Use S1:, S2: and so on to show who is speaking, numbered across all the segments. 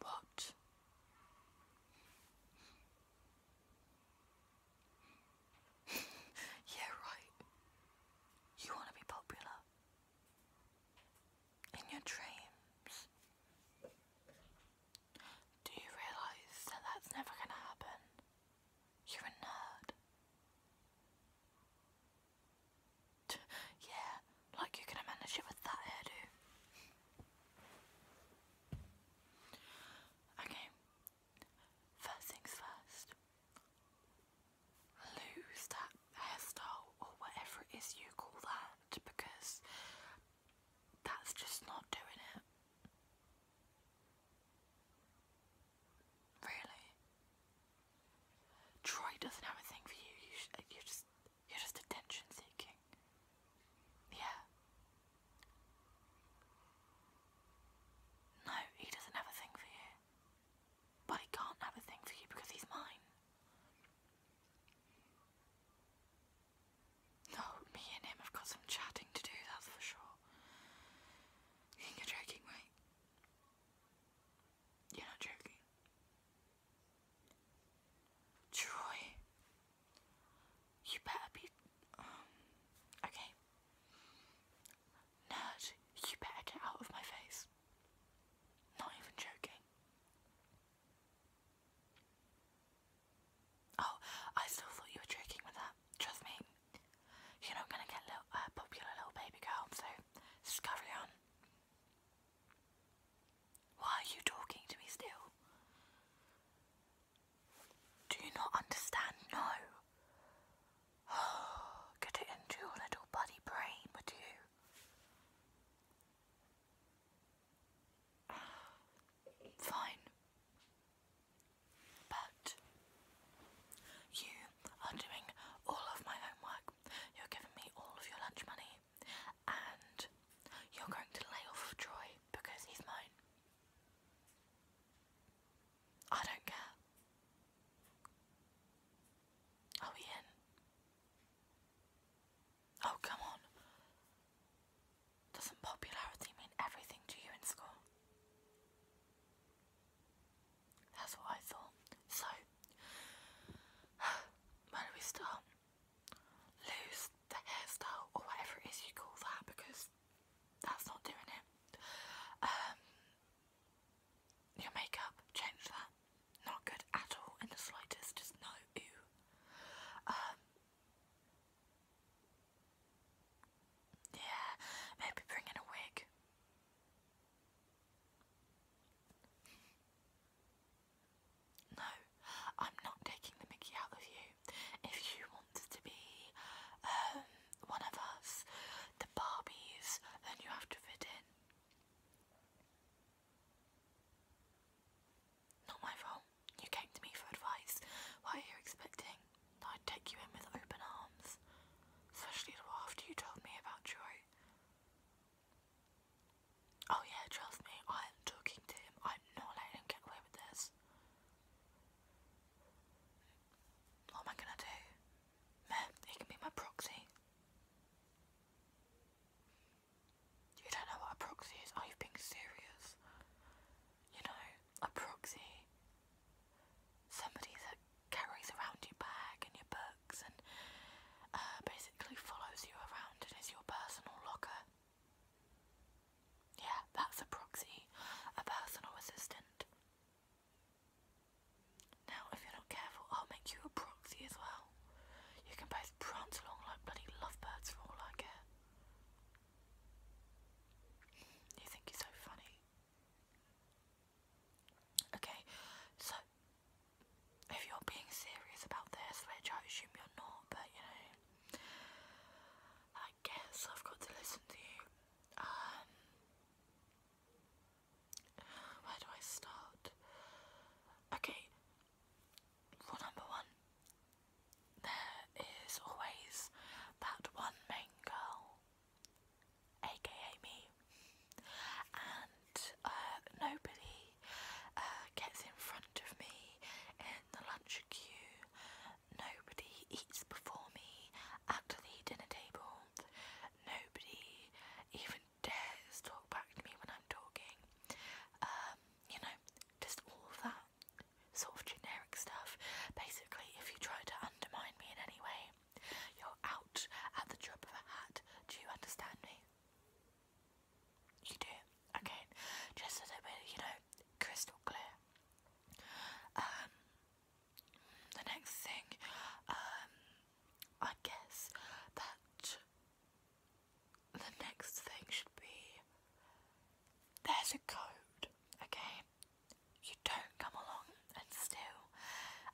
S1: What? yeah, right. You want to be popular. In your dreams. Do you realise that that's never going to happen? You're a nerd. yeah, like you're manage it with that hairdo. Okay, first things first. Lose that hairstyle or whatever it is you call that because that's just not doing it. Really, Troy doesn't have a thing for you. You you're just you're just attention seeking. Yeah. No, he doesn't have a thing for you. But he can't have a thing for you because he's mine. No, me and him have got some chatting to do, that's for sure. You are joking, right? You're not joking. Troy, you better be. Um, okay. Nerd, you better get out of my face. Not even joking. Oh, I still thought you were joking with that. Trust me, you know i gonna get little, uh, popular little baby girl, so just on. Why are you talking to me still? Do you not understand? No. get it into your little buddy brain, would you? Fine. But you are doing all of my homework. You're giving me all of your lunch money. And you're going to lay off Troy because he's mine. I don't care. Are we in? Oh, come on. Doesn't popularity mean everything to you in school? That's what I thought. So, where do we start? Lose the hairstyle or whatever it is you call that because that's not doing it. Um, your makeup, change that. Not good at all in the slightest, just no, yeah, maybe bring in a wig. No, I'm not taking the Mickey out of you. If you want to be um, one of us, the Barbies, then you have to fit in. Not my fault. You came to me for advice. What are you expecting? I'd take you in with open arms. Especially after you told me about Troy. Oh yeah, trust me, I am talking to him. I'm not letting him get away with this. What am I gonna do? Meh, he can be my proxy. You don't know what a proxy is? Are oh, you being serious? You know, a proxy. Somebody that carries around your bag and your books and uh, basically follows you around and is your personal locker. Yeah, that's a proxy, a personal assistant. Now, if you're not careful, I'll make you a proxy as well. You can both prance along like bloody lovebirds for all I care. You think you're so funny. Okay, so if you're being serious about this, which I assume you're not, but you know, I guess I've got to listen to you. Um, where do I start? Okay, Rule number one there is always that one main girl, aka me, and uh, nobody uh, gets in front of me in the lunch queue, nobody eats before me at the dinner table, nobody even dares talk back to me when I'm talking. Um, you know, just all of that sort of generic stuff. Basically, if you try to undermine me in any way, you're out at the drop of a hat. Do you understand me? You do? Okay, just a little bit, you know, crystal clear. Um, the next thing, um, I guess that the next thing should be there's a code, okay? You don't come along and steal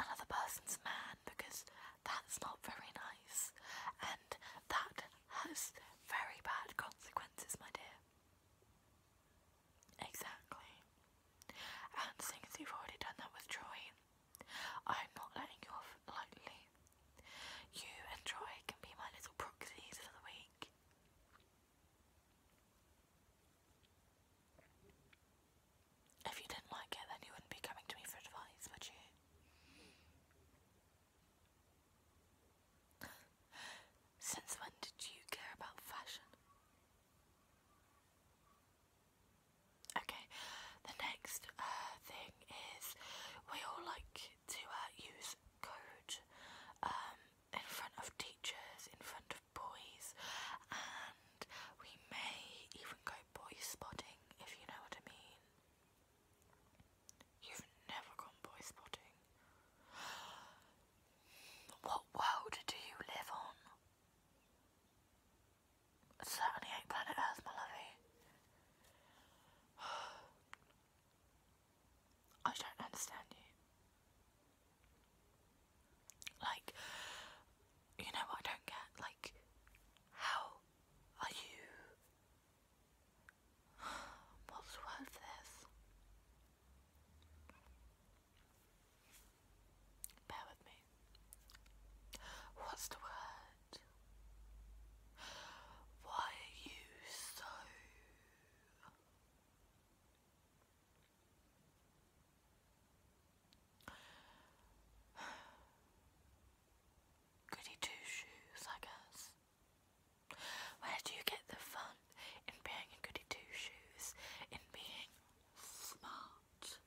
S1: another person's man because that's not very nice and that has very bad consequences, my dear. Exactly. And since you've already done that with Troy, I'm not letting you off off You and Troy can be my little proxies for the week. If you didn't like it, then you wouldn't be coming to me for advice, would you? Since when did you care about fashion? Okay, the next uh, thing is we all like to uh, use code um, in front of teachers, in front of boys, and we may even go boy spotting if you know what I mean. You've never gone boy spotting. What world do you live on? certainly ain't planet Earth, my lovey. I don't understand you. Like, you know I don't get? Like, how are you. What's the this? Bear with me. What's the word? Why are you so goody two shoes, I guess? Where do you get the fun in being a goody two shoes, in being smart?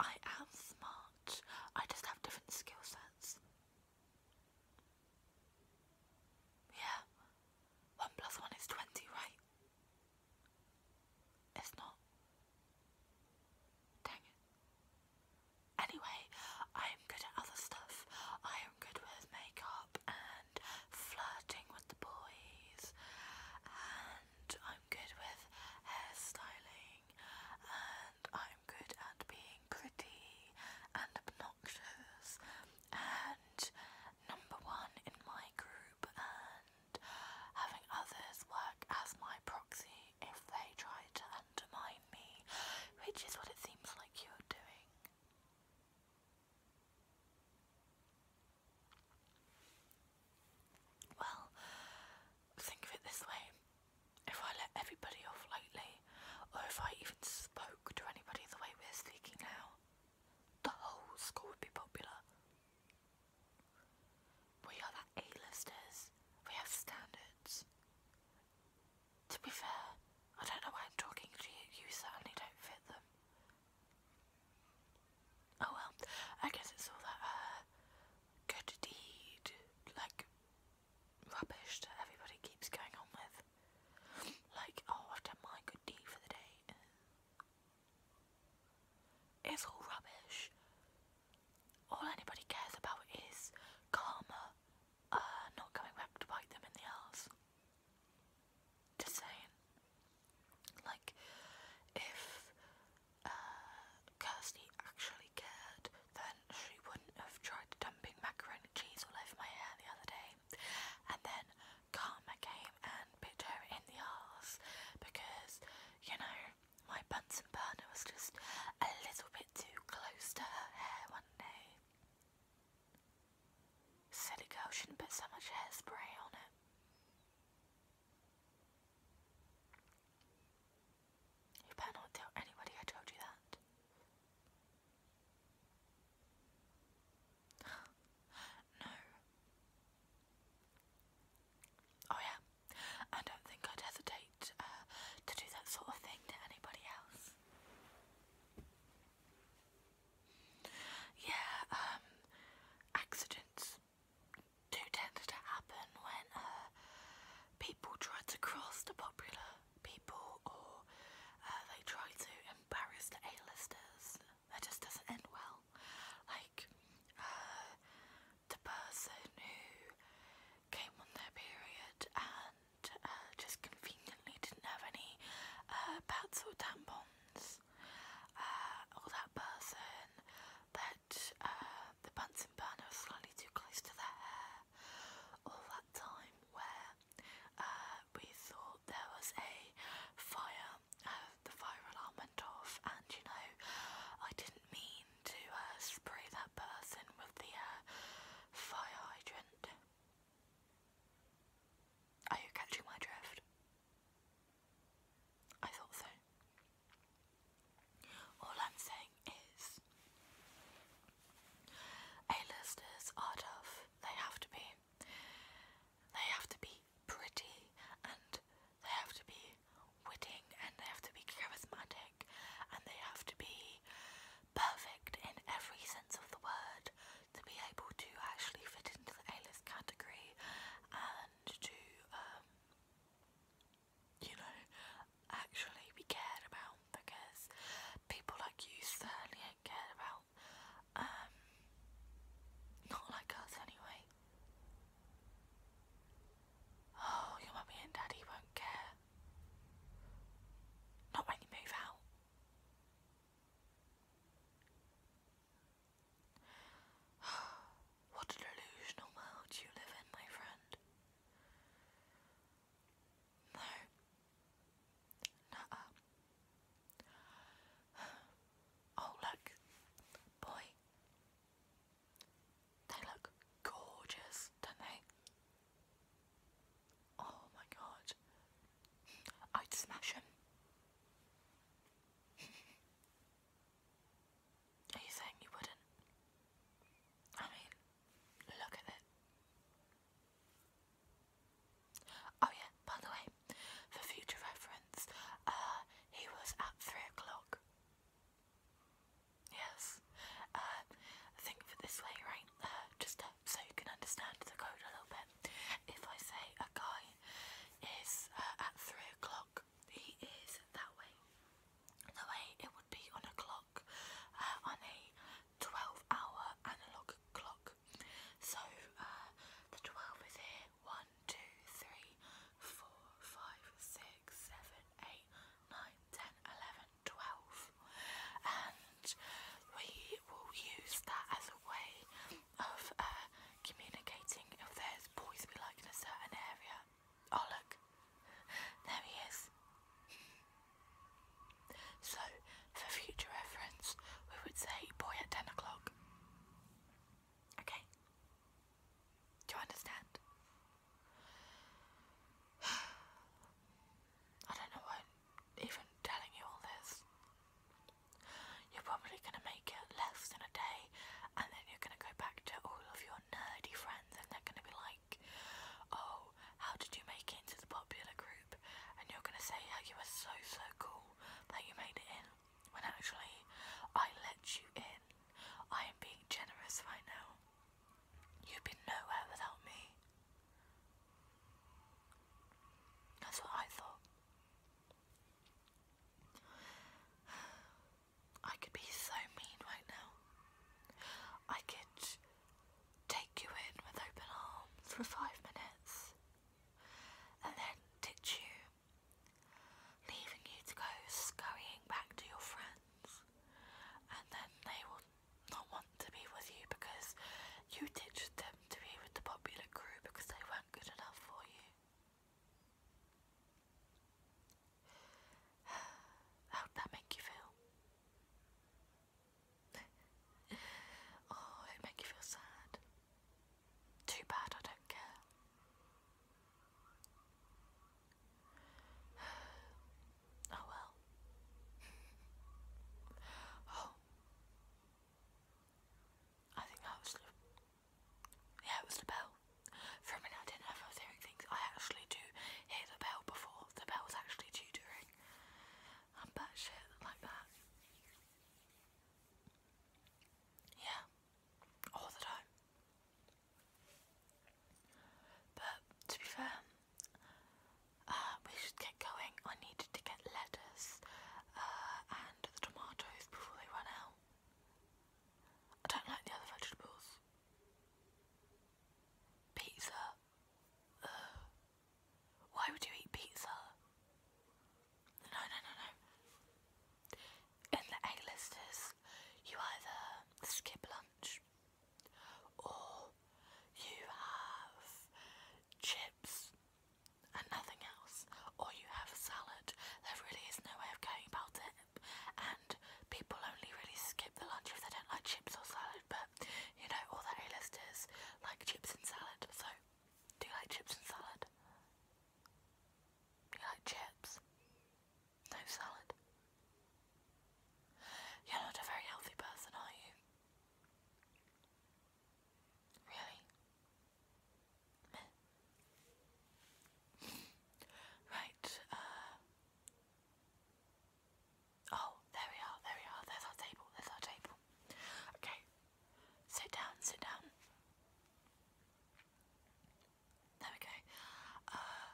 S1: I am smart. I just have different skill sets. Yeah. One plus one is twenty, right? It's not. Dang it. Anyway, I am good at other stuff. I am good with makeup and flirting with the boys and I'm good with hairstyling and I'm good at being pretty and obnoxious and number one in my group and having others work as my proxy if they try to undermine me, which is what it seems like you're doing. Well, think of it this way if I let everybody off lightly, or if I even spoke to anybody the way we're speaking now, the whole school would be popular. We are the A-listers, we have standards. To be fair, I don't know why I'm talking to you, you certainly don't fit them. Oh well, I guess it's all that uh, good deed, like rubbish that everybody keeps going on with. Like, oh, i my good deed for the day. It's all rubbish. All anybody cares about is karma uh, not coming back to bite them in the ass. Just saying. Like, if uh, Kirsty actually cared, then she wouldn't have tried dumping macaroni cheese all over my hair the other day. And then Karma came and bit her in the arse because, you know, my Bunsen burner was just a little bit too close to her hair one day. Silly girl shouldn't put so much hairspray on it. You better not tell anybody I told you that. no. Oh, yeah. I don't think I'd hesitate uh, to do that sort of thing to anybody else. Yeah, um, accidents too tended to happen when uh, people try to cross the popular people or uh, they try to embarrass the A-listers. That just doesn't end well. Like, uh, the person who came on their period and just conveniently didn't have any pads or tampons Buzz, uh, that person that uh, the Bunsen burner slightly too close to their hair, or that time where uh, we thought there was a fire, uh, the fire alarm went off, and you know, I didn't mean to spray that person with the fire hydrant. Are you catching my drift? I thought so. All I'm saying is A-listers are tough. They have to be. They have to be pretty and they have to be witting and they have to be charismatic and they have to be perfect in every sense of the word to be able to actually fit into the A-list category and to, um, you know, actually be cared about because people like you certainly ain't cared about. Um, not like us anyway. Oh, your mummy and daddy won't care. Not when you move out. what a delusional world you live in, my friend. No. Nuh Oh, look. Boy. They look gorgeous, don't they? Oh my god. I'd smash him. Are you saying you wouldn't? I mean, look at it. Oh yeah, by the way, for future reference, uh, he was at three o'clock. Yes, uh, I think for this way, right, uh, just so you can understand the code a little bit it. If I say a guy is uh, at three o'clock, he is that way. The way it would be on a clock, uh, on a 12-hour analog clock. So uh, the 12 is here. One, two, three, four, five, six, seven, eight, nine, ten, eleven, twelve, and we will use that as a way of uh, communicating if there's boys we like in a certain area. Oh look, there he is. So, for future reference, we would say boy at 10 o'clock. Okay? Do you understand? I don't know why I'm even telling you all this. You're probably going to make it less than a day, and then you're going to go back to all of your nerdy friends, and they're going to be like, Oh, how did you make it into the popular group? And you're going to say how you were so, so cool that you made it in, when actually, I let you in. I am being generous right now. You'd be nowhere without me. That's what I thought. I could be so mean right now. I could take you in with open arms for five minutes and then ditch you, leaving you to go scurrying back to your friends, and then they will not want to be with you because you ditched them to be with the popular crew because they weren't good enough for you. How'd that make you feel? oh, it make you feel sad. Too bad, I don't care. oh well. oh, I think that was yeah, it was the bell. For a minute I didn't know if I was hearing things. I actually do hear the bell before the bell's actually due I'm batshit like that. Yeah, all the time. But to be fair, uh, we should get going. I needed to get led uh, and the tomatoes before they run out. I don't like the other vegetables. Pizza. Why would you eat pizza? No, no, no, no. In the egg listers, you either skip lunch or you have chips and nothing else, or you have a salad. There really is no way of going about it, and people only really skip the lunch if they don't like chips or salad. But you know, all that A listers like chips and salad. So, do you like chips and salad? you like chips? No salad. You're not a very healthy person, are you? Really? right, uh, Oh, there we are, there we are, there's our table, there's our table. Okay. Sit down, sit down. There we go. Uh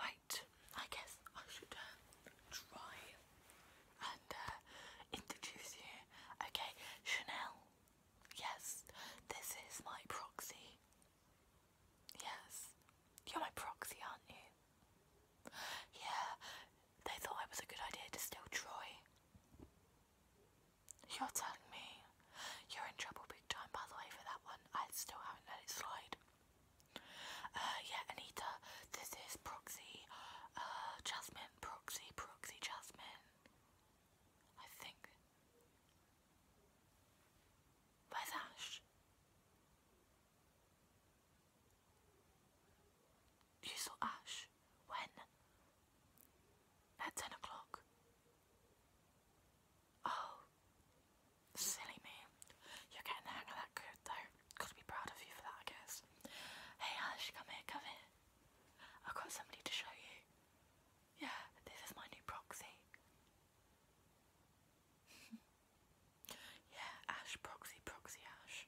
S1: I guess I should uh, try and uh, introduce you. Okay, Chanel. Yes, this is my proxy. Yes, you're my proxy, aren't you? Yeah, they thought it was a good idea to steal Troy. You're telling me you're in trouble big time, by the way, for that one. I still haven't let it slide. Uh, yeah, Anita, this is proxy, uh, Jasmine, proxy, proxy, Jasmine. I think. Where's Ash? You saw Ash? When? At ten o'clock. Oh, silly me. You're getting the hang of that good though. Gotta be proud of you for that, I guess. Hey Ash, come here, come here. I've got somebody to show you. Yeah, this is my new proxy. yeah, Ash proxy, proxy Ash.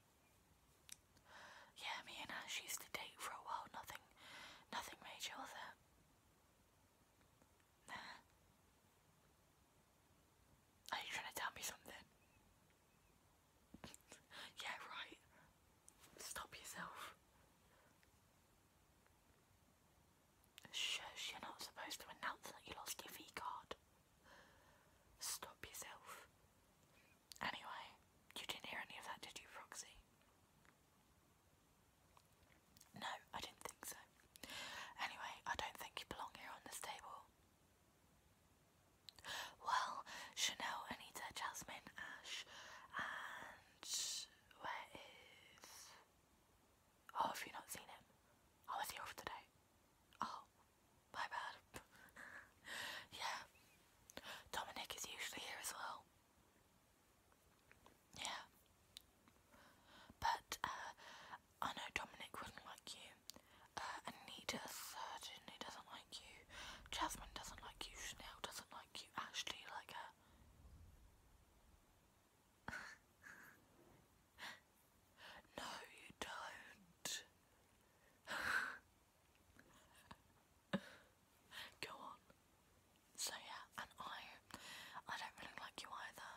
S1: Yeah, me and Ash used to date for a while, nothing nothing major was it? Nah. Are you trying to tell me something? yeah, right. Stop yourself. Shush, you're not supposed to announce that you lost your V card. Stop yourself. Anyway, you didn't hear any of that, did you, Roxy? No, I didn't think so. Anyway, I don't think you belong here on this table. Well, Chanel, Anita, Jasmine, Ash, and where is? Oh, have you not seen him? Oh, is he off today? Oh, my bad. yeah, Dominic is usually here as well. Yeah, but uh, I know Dominic wouldn't like you. Uh, Anita certainly doesn't like you. Jasmine doesn't like you. Chanel doesn't like you. Ashley like her. Uh, no, you don't. Go on. So yeah, and I, I don't really like you either.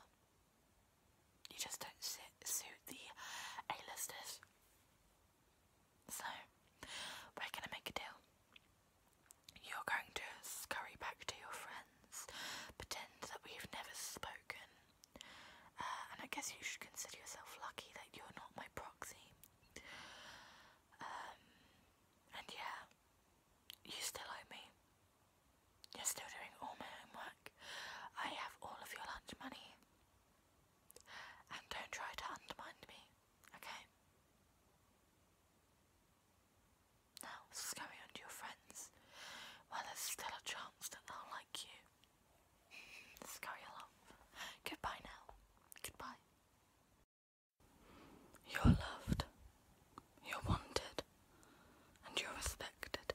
S1: You just don't sit, suit the a so, we're going to make a deal. You're going to scurry back to your friends, pretend that we've never spoken, uh, and I guess you should consider yourself lucky that you're not my proxy. Um, and yeah, you still owe me. You're still doing all my homework. I have all of your lunch money. And don't try to undermine me. Okay? Now, this is going on to your friends while there's still a chance that they'll like you. Let's carry along. Goodbye now. Goodbye. You're loved, you're wanted, and you're respected.